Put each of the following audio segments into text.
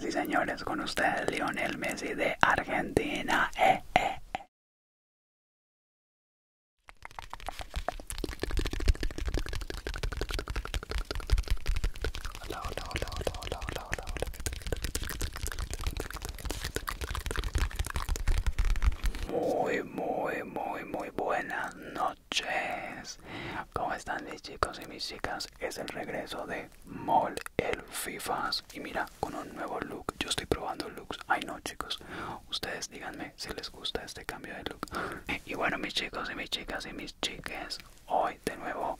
Sí, señores, con usted Lionel Messi de Argentina. Muy, muy, muy, muy buenas noches. ¿Cómo están mis chicos y mis chicas? Es el regreso de Mol el Fifas. Y mira, con un nuevo look. Yo estoy probando looks. Ay no, chicos. Ustedes díganme si les gusta este cambio de look. Y bueno, mis chicos y mis chicas y mis chiques. Hoy de nuevo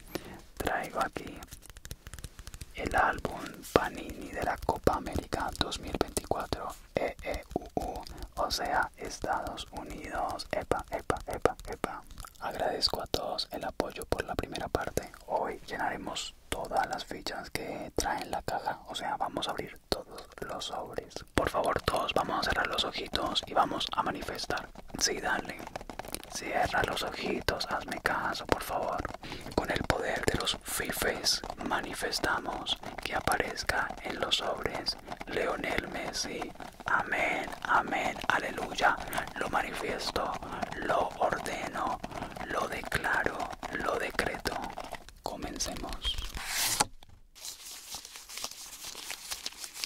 traigo aquí el álbum Panini de la Copa América 2024 EEUU, o sea, Estados Unidos. Epa, epa, epa, epa. Agradezco a todos el apoyo por la primera parte. Hoy llenaremos todas las fichas que traen la caja. O sea, vamos a abrir todos los sobres. Por favor, todos vamos a cerrar los ojitos y vamos a manifestar. Sí, dale. Cierra los ojitos, hazme caso, por favor. Con el poder de los fifes manifestamos que aparezca en los sobres Leonel Messi Amén, amén, aleluya. Lo manifiesto, lo ordeno, lo declaro, lo decreto. Comencemos.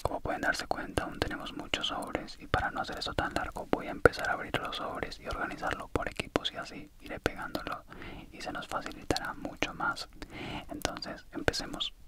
Como pueden darse cuenta, aún tenemos muchos sobres y para no hacer eso tan largo voy a empezar a abrir los sobres y organizarlo por equipos y así iré pegándolo y se nos facilitará mucho más. Entonces, empecemos.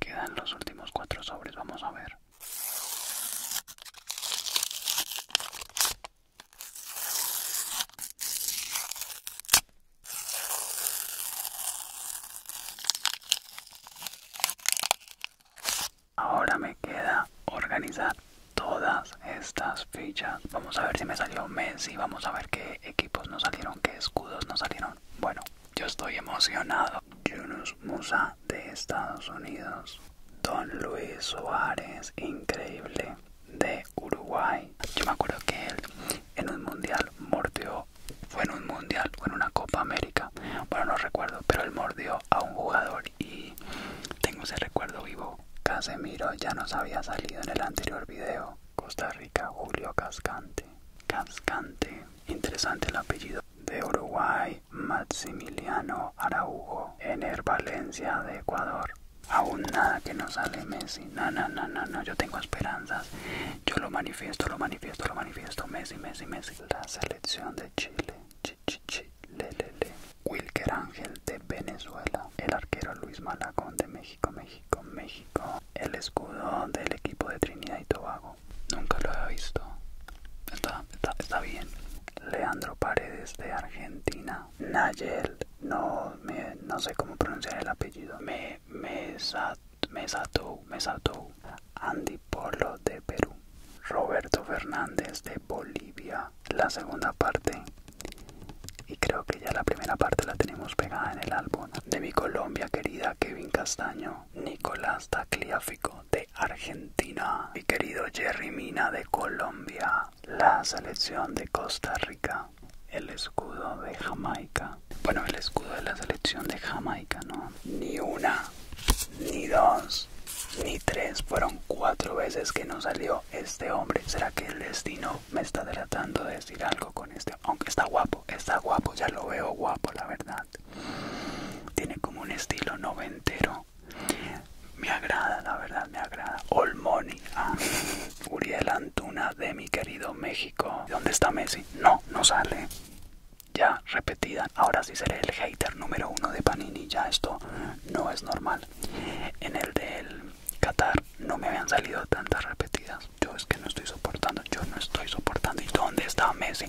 Quedan los últimos cuatro sobres, vamos a ver. Ahora me queda organizar todas estas fichas. Vamos a ver si me salió Messi, vamos a ver qué equipos no salieron, qué escudos no salieron. Bueno, yo estoy emocionado. Yunus Musa de Estados Unidos. Don Luis Suárez, increíble, de Uruguay. Yo me acuerdo que él en un mundial mordió, fue en un mundial o en una Copa América, bueno no recuerdo, pero él mordió a un jugador y tengo ese recuerdo vivo. Casemiro ya nos había salido en el anterior video Costa Rica, Julio Cascante. Cascante, interesante el apellido. De Uruguay, Maximiliano Araujo. Ener Valencia, de Ecuador. Aún nada que no sale Messi. No, no, no, no, Yo tengo esperanzas. Yo lo manifiesto, lo manifiesto, lo manifiesto. Messi, Messi, Messi. La selección de Chile. Ch -ch -ch -le -le -le. Wilker Ángel de Venezuela. El arquero Luis Malacón de México. México, México, México. El escudo del equipo de Trinidad y Tobago. Nunca lo había visto. Está, bien. Leandro Paredes de Argentina. Nayel. No, no sé cómo pronunciar el apellido. Me, me, Andy Polo de Perú. Roberto Fernández de Bolivia. La segunda parte y creo que ya la primera parte la tenemos pegada en el álbum. De mi Colombia querida Kevin Castaño, Nicolás Tacliáfico de Argentina, mi querido Jerry Mina de Colombia, la selección de Costa Rica, el escudo de Jamaica. Bueno, el escudo de la selección de Jamaica, ¿no? Ni una, ni dos, ni tres, fueron cuatro veces que no salió este hombre. ¿Será que el destino me está tratando de decir algo con este. Aunque está guapo, está guapo, ya lo veo guapo, la verdad. Tiene como un estilo noventero. Me agrada, la verdad, me agrada. Olmoni, ah, Uriel Antuna de mi querido México. ¿Dónde está Messi? No, no sale. Ya, repetida. Ahora sí seré el hater número uno de Panini. Ya esto no es normal. En el del Qatar no me habían salido tantas repetidas. Yo es que no estoy soportando, yo no estoy soportando. ¿Y dónde está Messi?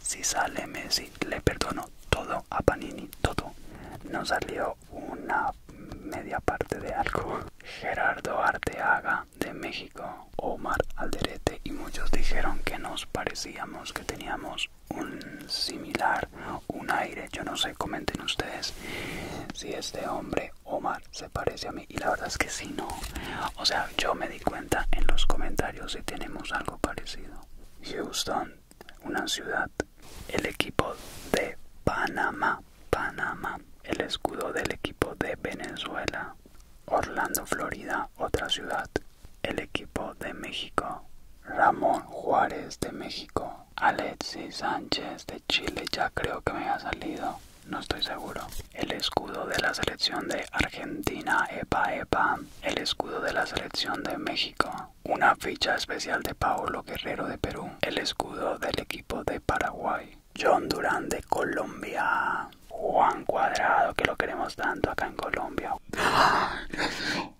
Si sale Messi, le perdono todo a Panini, todo. nos salió una media parte de algo. Gerardo Arteaga de México, Omar Alderete y muchos dijeron que nos parecíamos, que teníamos un similar, un aire, yo no sé, comenten ustedes si este hombre Omar se parece a mí y la verdad es que sí, no. O sea, yo me di cuenta en los comentarios si tenemos algo parecido. Houston, una ciudad. El equipo de Panamá, Panamá. El escudo del equipo de Venezuela. Orlando, Florida, otra ciudad. El equipo de México. Ramón Juárez de México. Alexis Sánchez de Chile ya creo que me ha salido. No estoy seguro. El escudo de la selección de Argentina, Epa Epa. El escudo de la selección de México. Una ficha especial de Paolo Guerrero de Perú. El escudo del equipo de Paraguay. John Durán de Colombia. Juan Cuadrado, que lo queremos tanto acá en Colombia.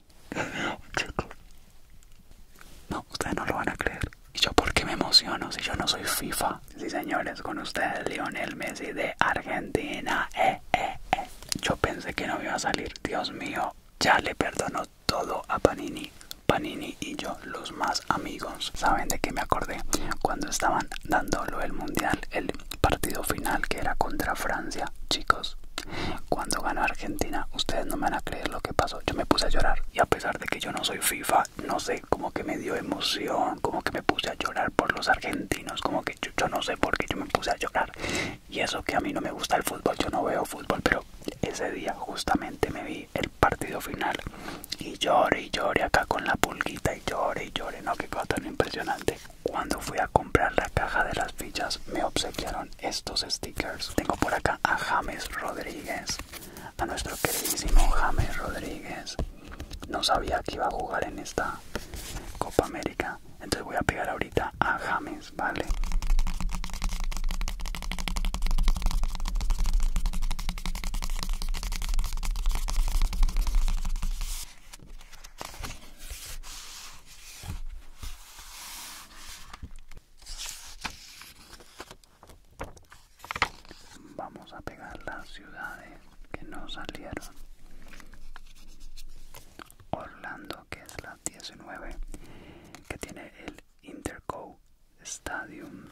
No, ustedes no lo van a creer. Y yo, ¿por qué me emociono si yo no soy FIFA? Sí, señores, con ustedes, Lionel Messi de Argentina. Eh, eh, eh. Yo pensé que no iba a salir. Dios mío, ya le perdono todo a Panini. Panini y yo, los más amigos. ¿Saben de qué me acordé? Cuando estaban dándolo el mundial, el partido final que era contra Francia, chicos. Cuando ganó Argentina, ustedes no me van a creer lo que pasó. Yo me puse a llorar y a a pesar de que yo no soy FIFA, no sé, como que me dio emoción, como que me puse a llorar por los argentinos, como que yo, no sé por qué yo me puse a llorar. Y eso que a mí no me gusta el fútbol, yo no veo fútbol, pero ese día justamente me vi el partido final y lloré y lloré acá con la pulguita y lloré y lloré, no, qué cosa tan impresionante. Cuando fui a comprar la caja de las fichas me obsequiaron estos stickers. Tengo por acá a James Rodríguez, a nuestro queridísimo James Rodríguez. No sabía que iba a jugar en esta Copa América. Entonces voy a pegar ahorita a James, ¿vale? Vamos a pegar las ciudades que no salieron. Orlando, que es la 19, que tiene el Interco Stadium.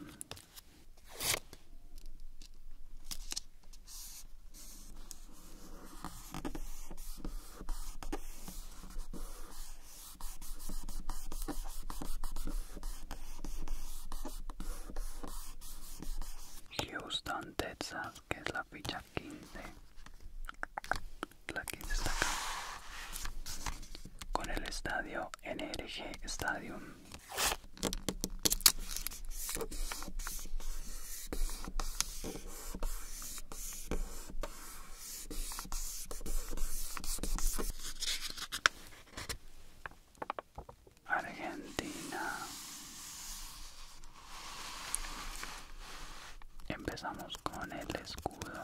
Houston, Texas, que es la ficha 15. La 15 está acá. Con el estadio NRG Stadium. Argentina. Empezamos con el escudo.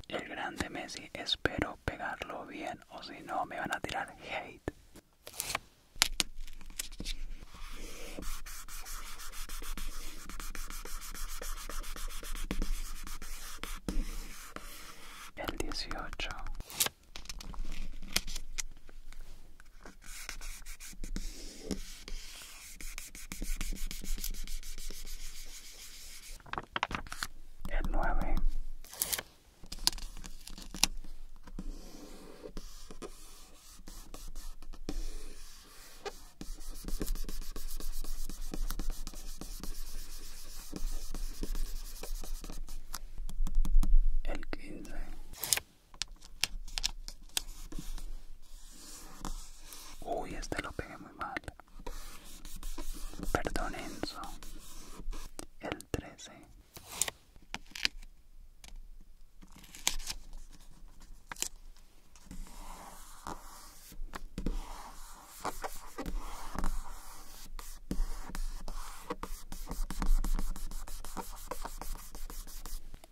El grande Messi, espero pegarlo bien o si no me van a tirar hate. El 18 el 9 el 15 uy este lo pegué muy mal perdón el 13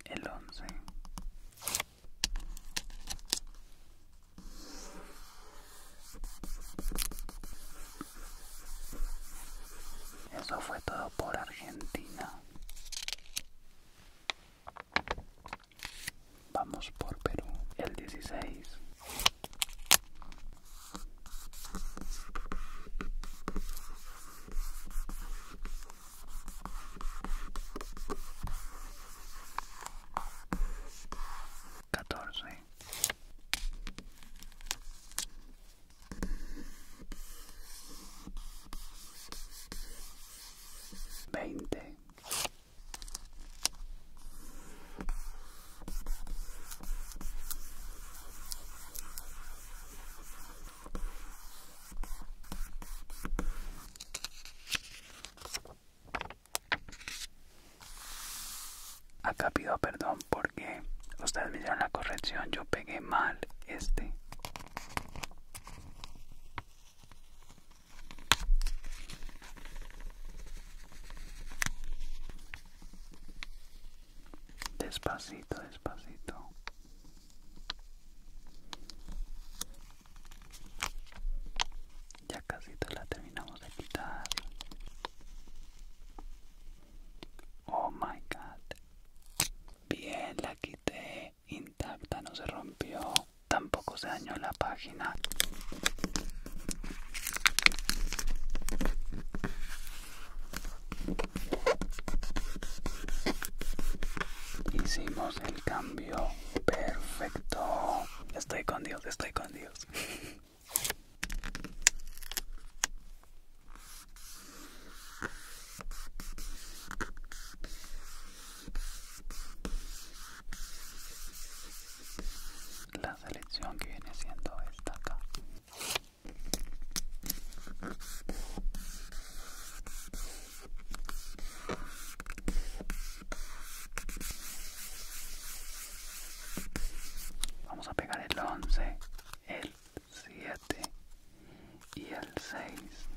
el 11 eso fue todo por Argentina. Vamos por Perú, el 16. Catorce. Veinte. Acá pido perdón porque ustedes me dieron la corrección, yo pegué mal este. Despacito, despacito. Ya casi la terminamos de quitar. Oh my god. Bien, la quité. Intacta, no se rompió. Tampoco se dañó la página. Hicimos el cambio perfecto. Estoy con estoy con Dios. La selección que viene siendo esta acá. Vamos a pegar el 11, el 7 y el 6.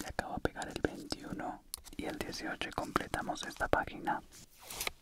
Le acabo de pegar el 21 y el 18 y completamos esta página.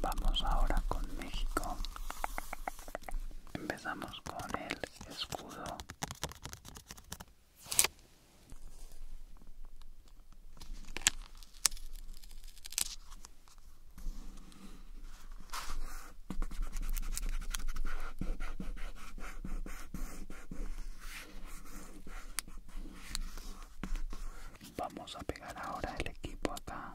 Vamos ahora con México. Empezamos con el escudo. Vamos a pegar ahora el equipo acá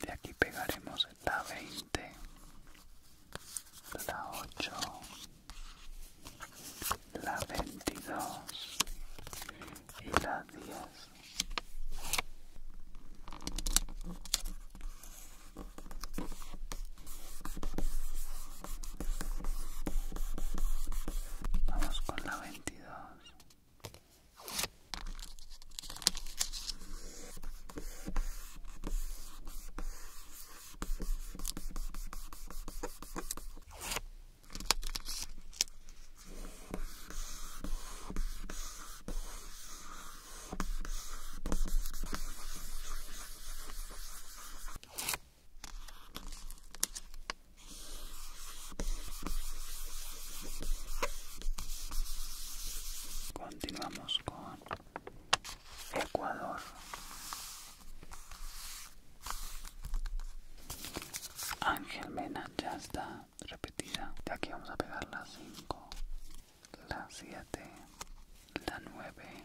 De aquí pegaremos la 20, la 8, la 22 y la 10. Vamos con la 22. Continuamos con Ecuador. Ángel Mena ya está repetida. De aquí vamos a pegar la 5, la siete la nueve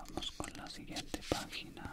Vamos con la siguiente página.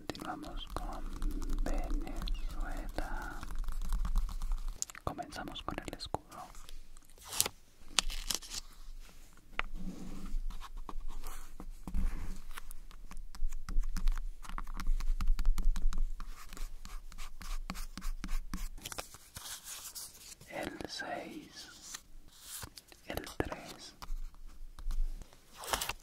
Continuamos con Venezuela. Comenzamos con el escudo. El 6, el 3,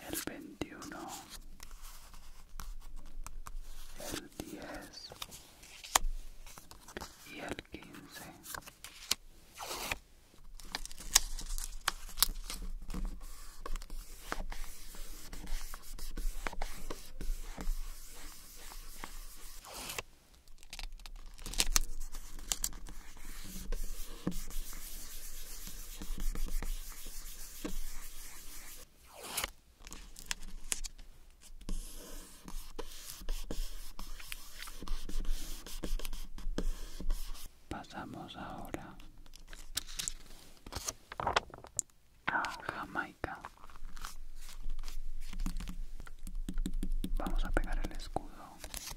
el veintiuno, el diez y el quince. Pasamos ahora a Jamaica. Vamos a pegar el escudo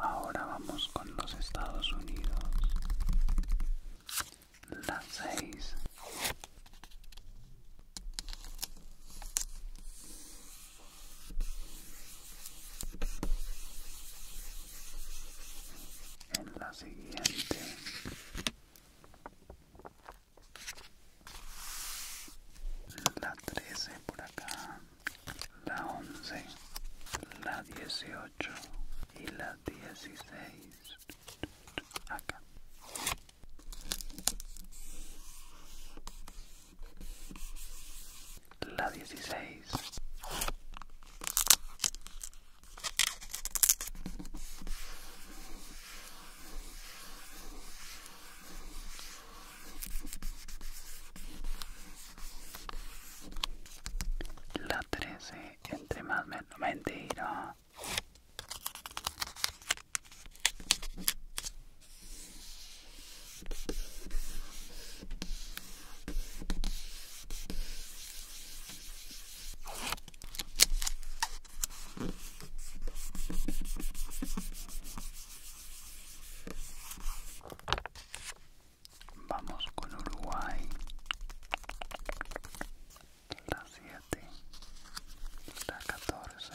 Ahora vamos con los Estados Unidos. Las seis en la siguiente la 13 por acá la 11 la 18 y la 16 acá la 16 la 13 entre más menos mentiro Vamos con Uruguay. La 7. Está 14.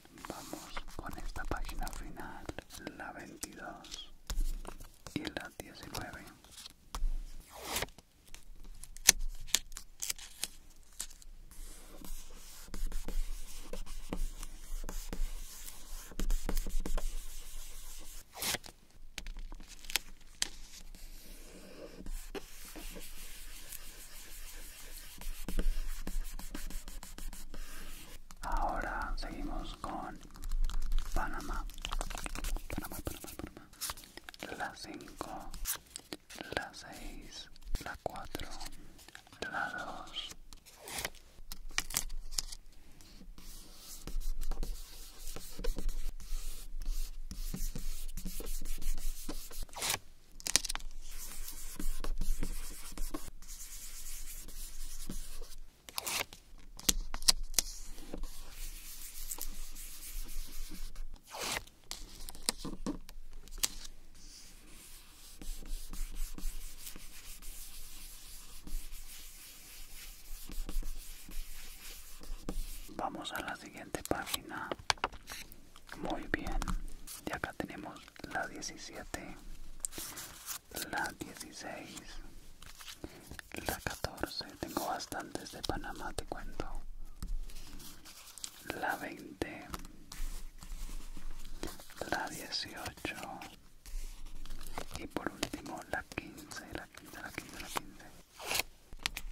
Vamos con esta página final, la 22 y la 19. Ahora seguimos con Panamá. Panamá, Panamá, Panamá. La 5, la 6, la 4, la 2. Vamos a la siguiente página muy bien. Y acá tenemos la 17, la 16, la 14. Tengo bastantes de Panamá, te cuento. La 20, la 18. Y por último la 15, la 15, la 15, la 15.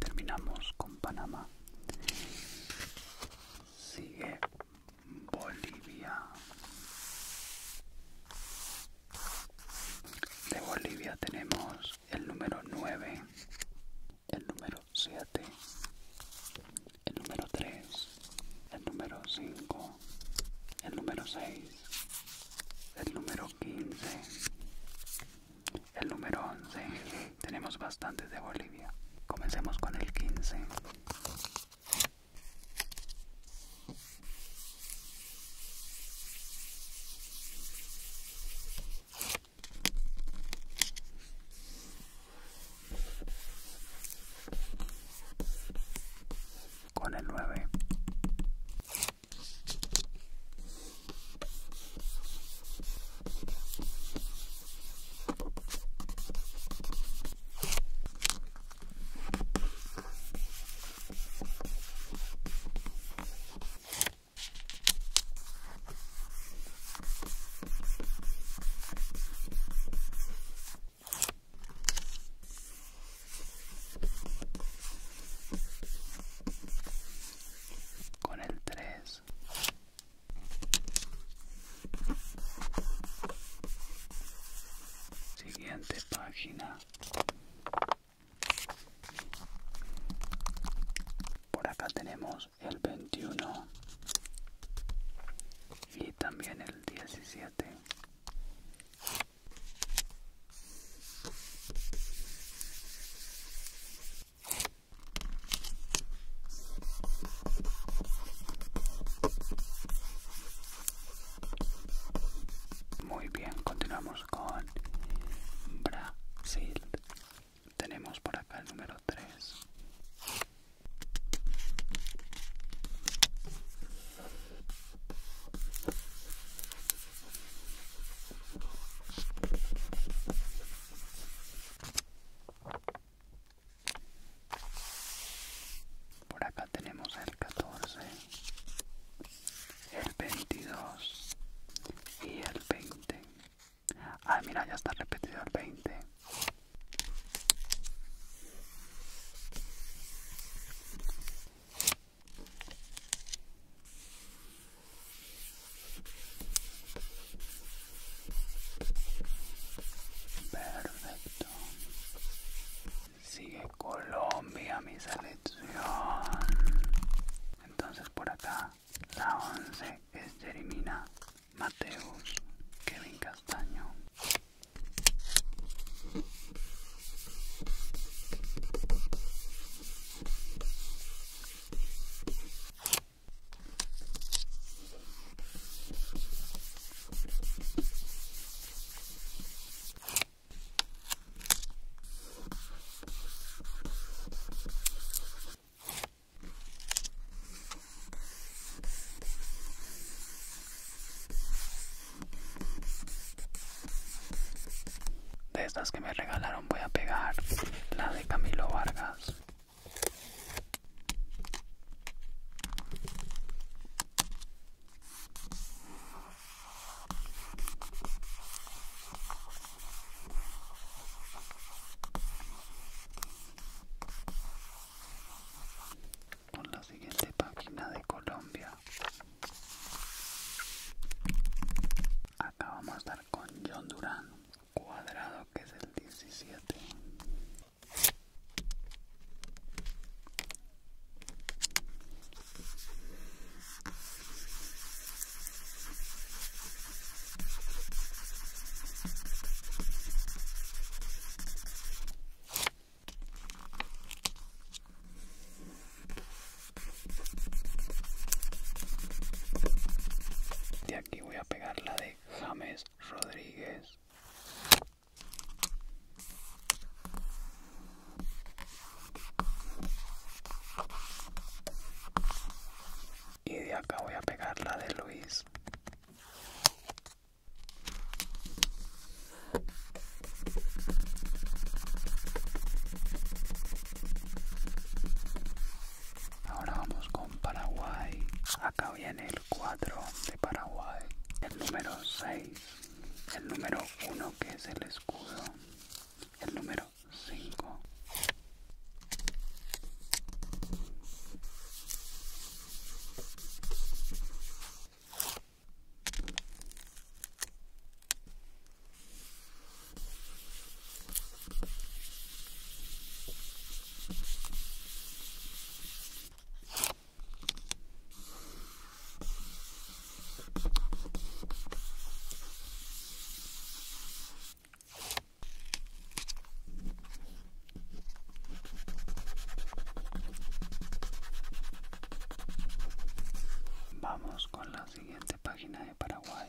Terminamos con Panamá. Sigue Bolivia. De Bolivia tenemos el número 9, el número 7, el número 3, el número 5, el número 6, el número 15, el número 11. Tenemos bastantes de Bolivia. Comencemos con el 15 con el 9 con el 3 Siguiente página. Por acá tenemos el 21 y también el 17. Muy bien, continuamos con Brasil. Tenemos por acá el número 3. Por acá tenemos el 14, el 22 y el 20. Ah, mira, ya está repetido el 20. Perfecto. Sigue Colombia, mi selección. Entonces por acá, la once es elimina, Mateus, Kevin Castaño. De estas que me regalaron voy a pegar la de Camilo Vargas con la siguiente página de Colombia. Acá vamos a estar con John Durán, cuadrado que es el 17 de aquí voy a pegar la de James Rodríguez. Y de acá voy a pegar la de Luis. Ahora vamos con Paraguay. Acá viene 4 de Paraguay, el número 6, el número 1 que es el escudo, el número 5. Vamos con la siguiente página de Paraguay.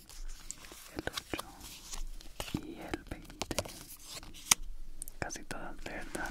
el 8 y el 20 casi todas verdad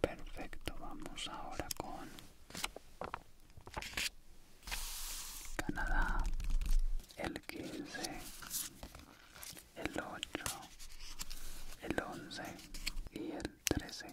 Perfecto, vamos ahora con Canadá, el 15, el 8, el 11 y el 13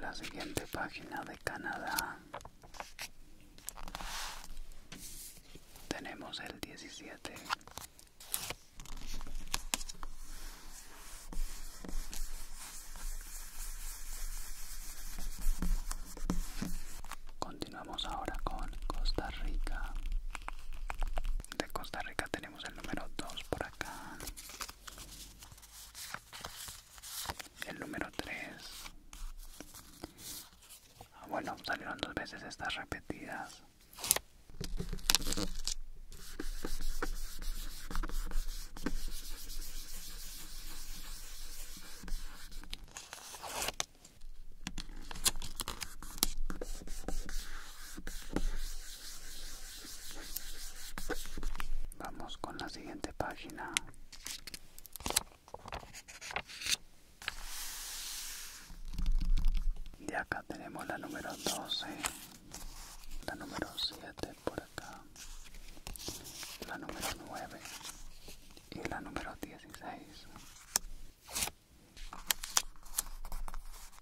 de las siguiente página de Canadá tenemos el 17 Continuamos ahora con Costa Rica. De Costa Rica tenemos el número 2 por acá. El número 3. Ah, bueno, salieron dos veces estas repetidas. Vamos con la siguiente página. Y acá tenemos la número 12, la número 7 por acá, la número 9 y la número 16.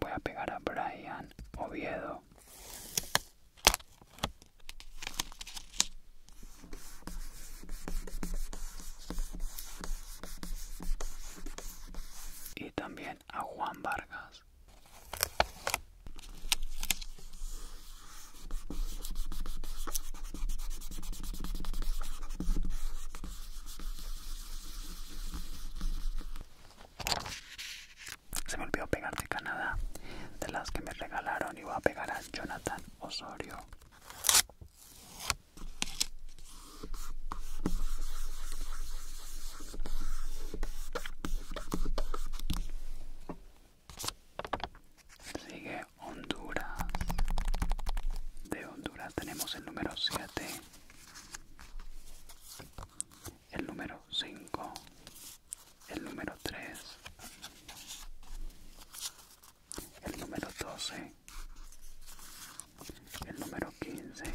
Voy a pegar a Brian Oviedo. Y también a Juan Vargas. Se me olvidó pegar de Canadá, de las que me regalaron, y voy a pegar a Jonathan Osorio. Sigue Honduras, de Honduras. Ahora tenemos el número 7, el número 5, el número 3, el número 12, el número 15,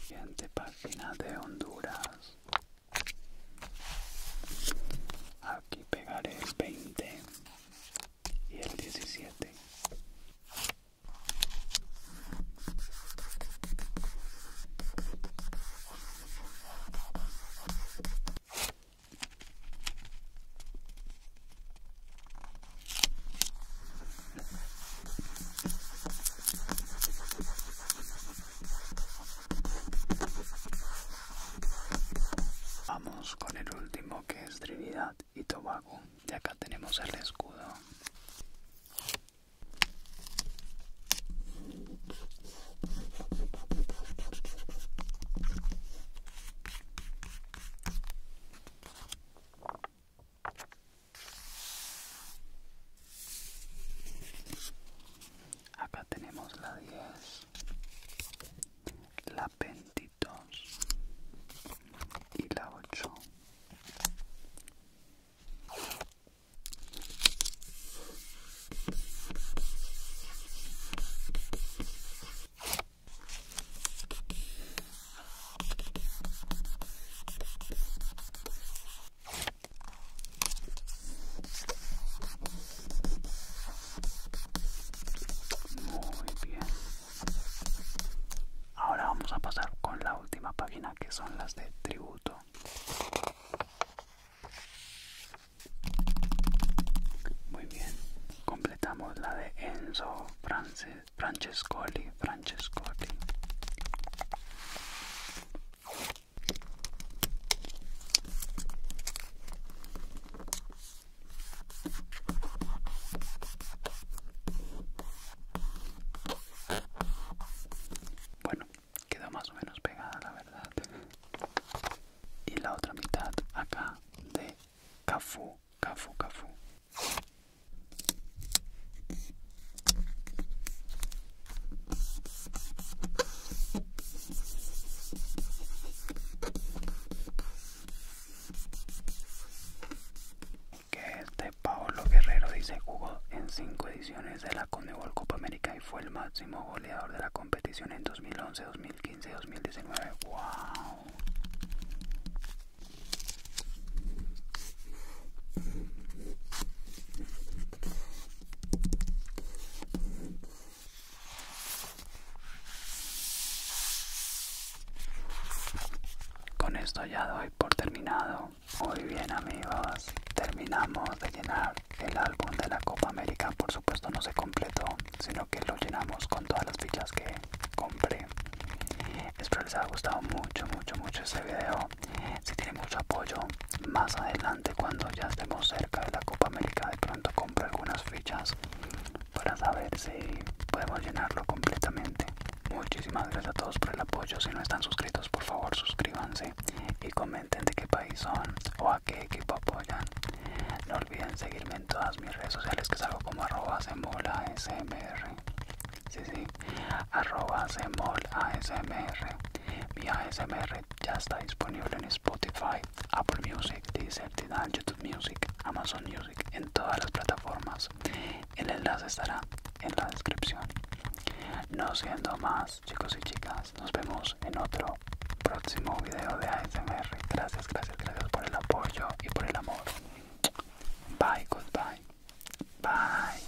Siguiente página de Honduras. Aquí pegaré el 20 y el 17. Vamos con el último que es Trinidad y Tobago. Y acá tenemos el escudo. Acá tenemos la 10, la 22 y la 8. Muy bien. Ahora vamos a pasar con la última página que son las de tributo. Muy bien completamos la de Enzo Frances, Francescoli, Francescoli. Bueno, quedó más o menos pegada la verdad. Y la otra mitad acá de Cafu, Cafu, Cafu. Que este Paolo Guerrero dice jugó en cinco ediciones de la Conebol Copa América y fue el máximo goleador de la competición en 2011, 2012 2015-2019. ¡Wow! Con esto ya doy por terminado. Muy bien amigos, terminamos de llenar el álbum de la Copa América. Por supuesto no se completó, sino que lo llenamos con todas las fichas que compré espero les haya gustado mucho mucho mucho ese video si tiene mucho apoyo más adelante cuando ya estemos cerca de la copa américa de pronto compro algunas fichas para saber si podemos llenarlo completamente muchísimas gracias a todos por el apoyo si no están suscritos por favor suscríbanse y comenten de qué país son o a qué equipo apoyan no olviden seguirme en todas mis redes sociales que salgo como arroba Sí, sí, arroba Mi ASMR ya está disponible en Spotify, Apple Music, Deezer, YouTube Music, Amazon Music, en todas las plataformas. El enlace estará en la descripción. No siendo más, chicos y chicas, nos vemos en otro próximo video de ASMR. Gracias, gracias, gracias por el apoyo. odio e por el amor. Bye, goodbye. Bye.